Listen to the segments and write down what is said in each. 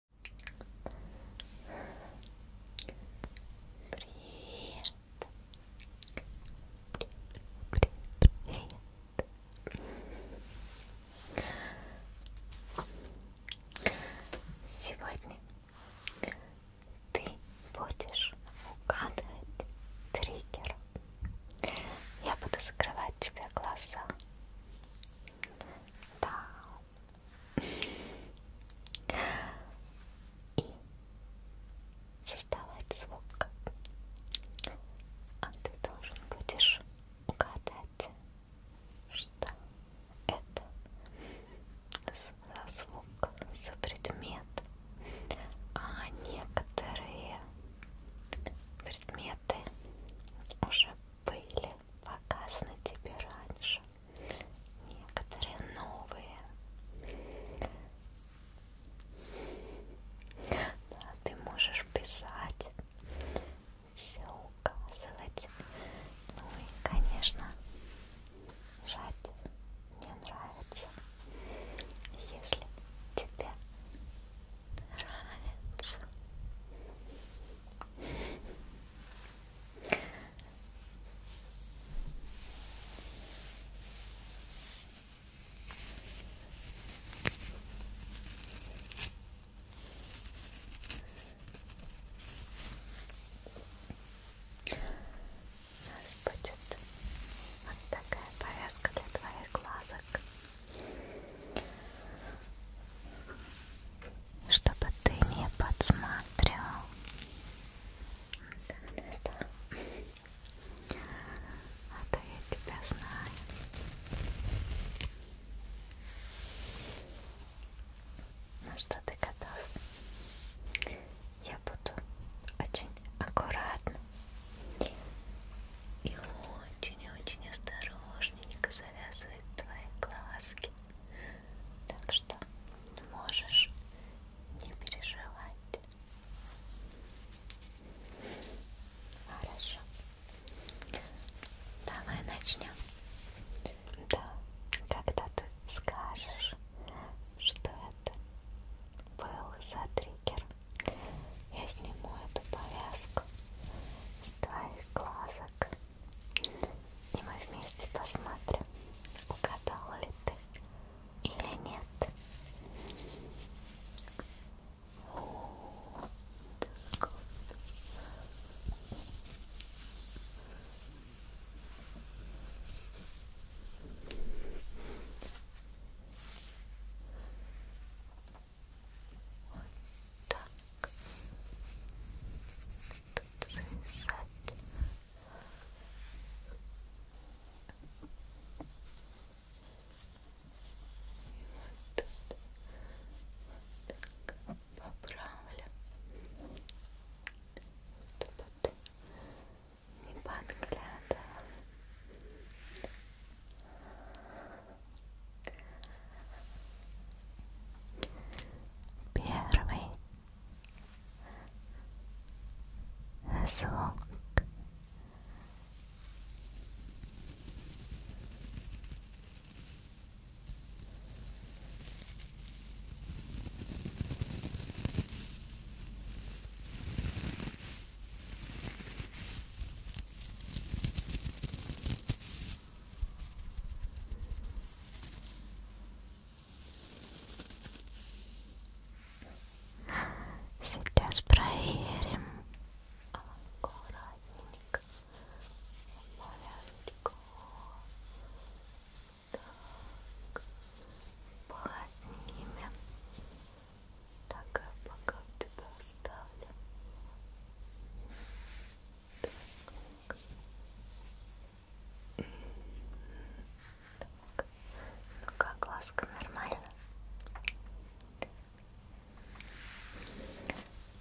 привет. Привет, привет, привет. Сегодня ты будешь угадывать триггер. Я буду закрывать тебе глаза. Да, и создавать звук. А ты должен будешь угадать, что это за звук, за предмет. А некоторые предметы уже были показаны тебе раньше. Некоторые новые. Да, ты можешь писать, все указывать. Ну и, конечно, жать мне нравится. Если тебе нравится. У нас будет вот такая повязка для твоих глазок чтобы ты не подсматривал. Да, да, да. А то я тебя знаю. Ну что, ты готов? Я буду очень аккуратно и очень-очень осторожненько завязывать твои глазки. Так что можешь не переживать. Хорошо. Давай начнем. Да, когда ты скажешь, что это был за триггер, я сниму эту повязку с твоих глазок и мы вместе посмотрим, угадал ли ты или нет. Вот так тут зависать. И вот тут вот так поправлю. Чтобы ты не подглядывал. Первый звук. Сейчас проверим. Аккуратненько. Маленько. Так. Поднимем. Так, а пока тебя оставлю так. Так. Ну как, ласка нормально?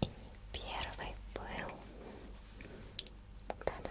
И первый был. Да-да.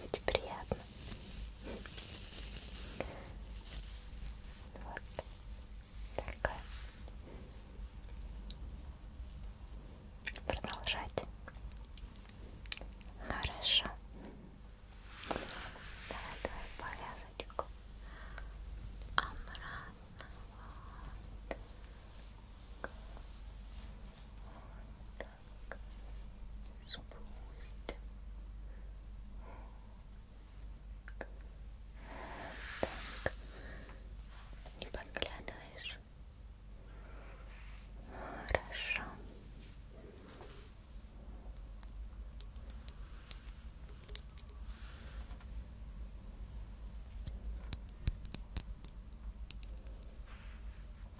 Ведь приятно. Вот такое. Продолжать. Хорошо. Давай твою повязочку. Обратно. Вот так спустим так не подглядываешь хорошо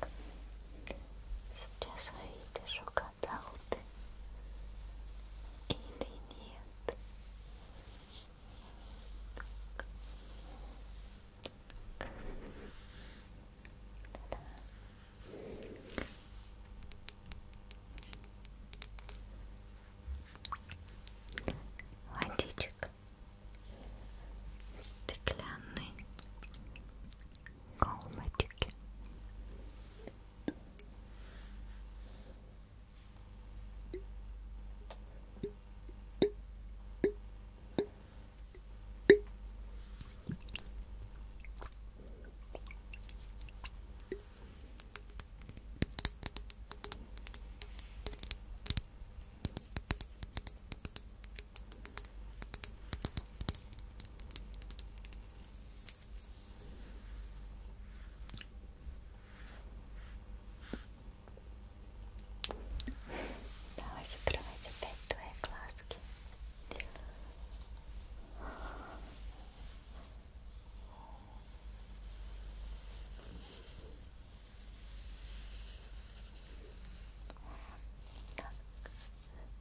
Так. Сейчас увидишь, угадал ты или нет. Так. Да. Водичек стеклянной колбочки. Ой, Давай закрывать опять твои глазки. Так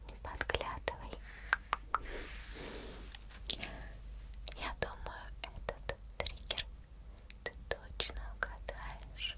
не подглядывай. Я думаю, этот триггер ты точно угадаешь.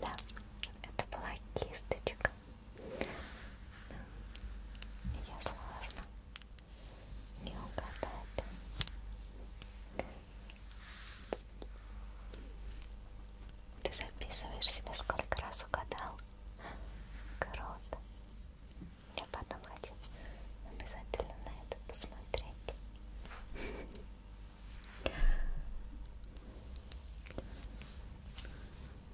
Да, это была кисточка. Ее сложно не угадать. Ты записываешь себя сколько раз угадал? Круто. Я потом хочу обязательно на это посмотреть. Ушек.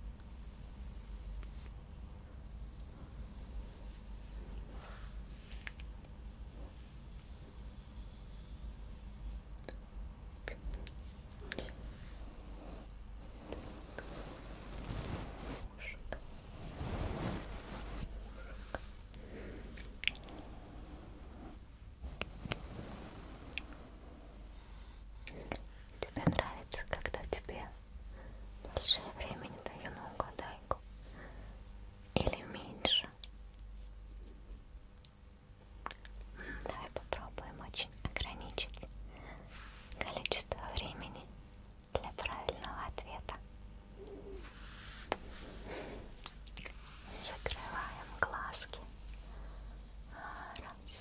Тебе нравится, когда тебе больше времени даю на угадайку? Или меньше? Давай попробуем очень ограничить количество времени для правильного ответа. Закрываем глазки. Раз,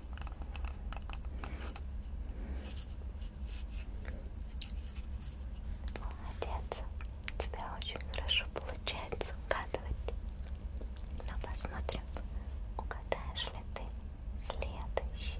Молодец, у тебя очень хорошо получается угадывать. Но ну, посмотрим, угадаешь ли ты следующий.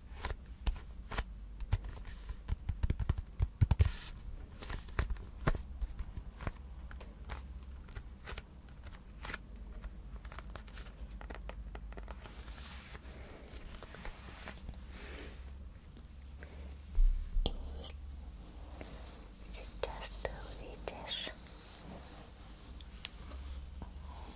сейчас ты увидишь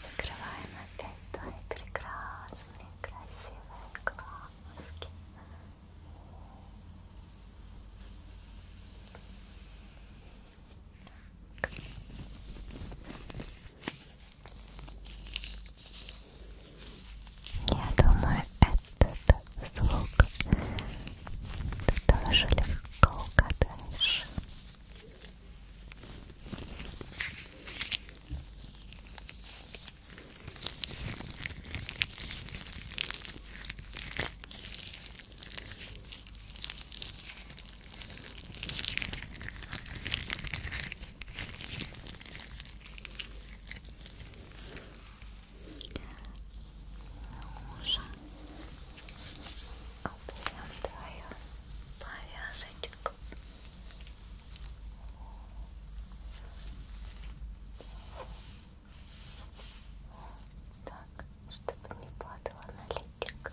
Закрываем опять твои прекрасные, красивые глазки. Так. Я думаю, этот звук ты тоже легко угадаешь. Уже обнял твою повязочку. Так, чтобы не падала на личик.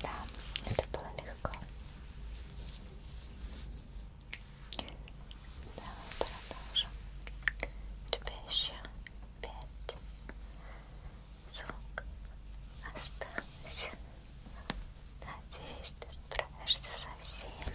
Да, это было легко. Давай продолжим. У тебя еще пять звук остался. Надеюсь, ты справишься со всеми.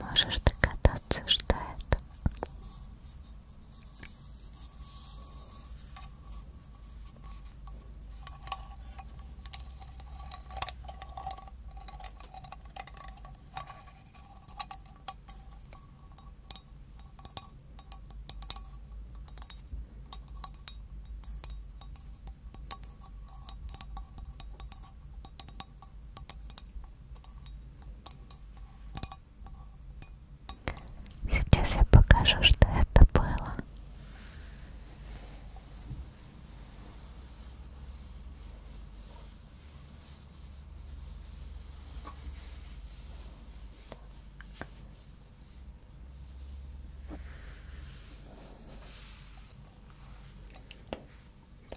Можешь догадаться, что это? Сейчас я покажу, что это было.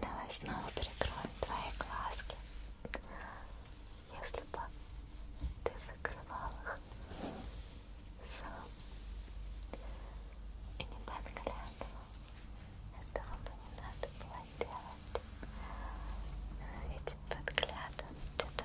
Давай снова перекроем твои глазки. Если бы ты закрывал их сам и не так для этого, этого бы не надо было делать. Ведь подглядывать это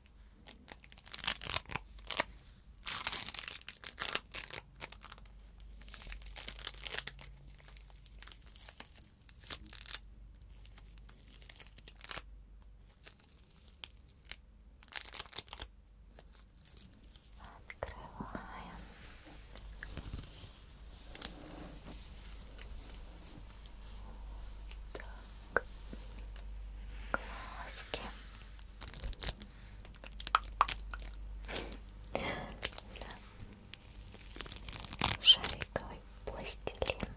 Открываем. Так, глазки. Шариковый пластилин.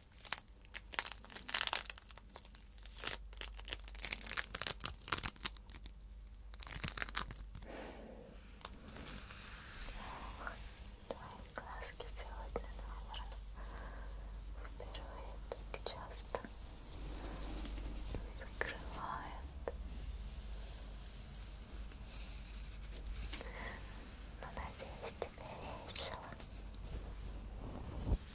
Твои глазки сегодня, наверное, впервые так часто закрывают. Но надеюсь, тебе весело.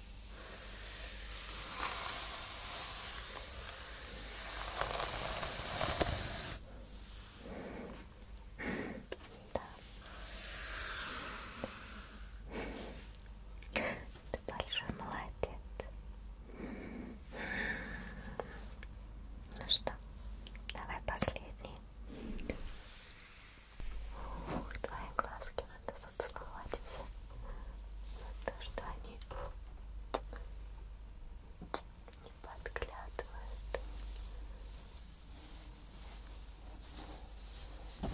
Да. Ты большой молодец. Ну что, давай последний. Ух, твои глазки надо поцеловать все за то, что они не подглядывают. Ой,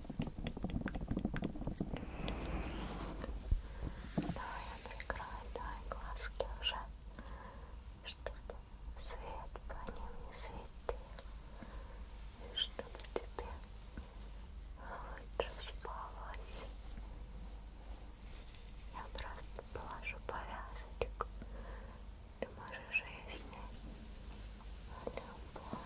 Да, я прикрою, да, глазки уже, чтобы свет по ним не светил, и чтобы тебе лучше спалось. Я просто положу повязочку, ты можешь ее снять любой момент.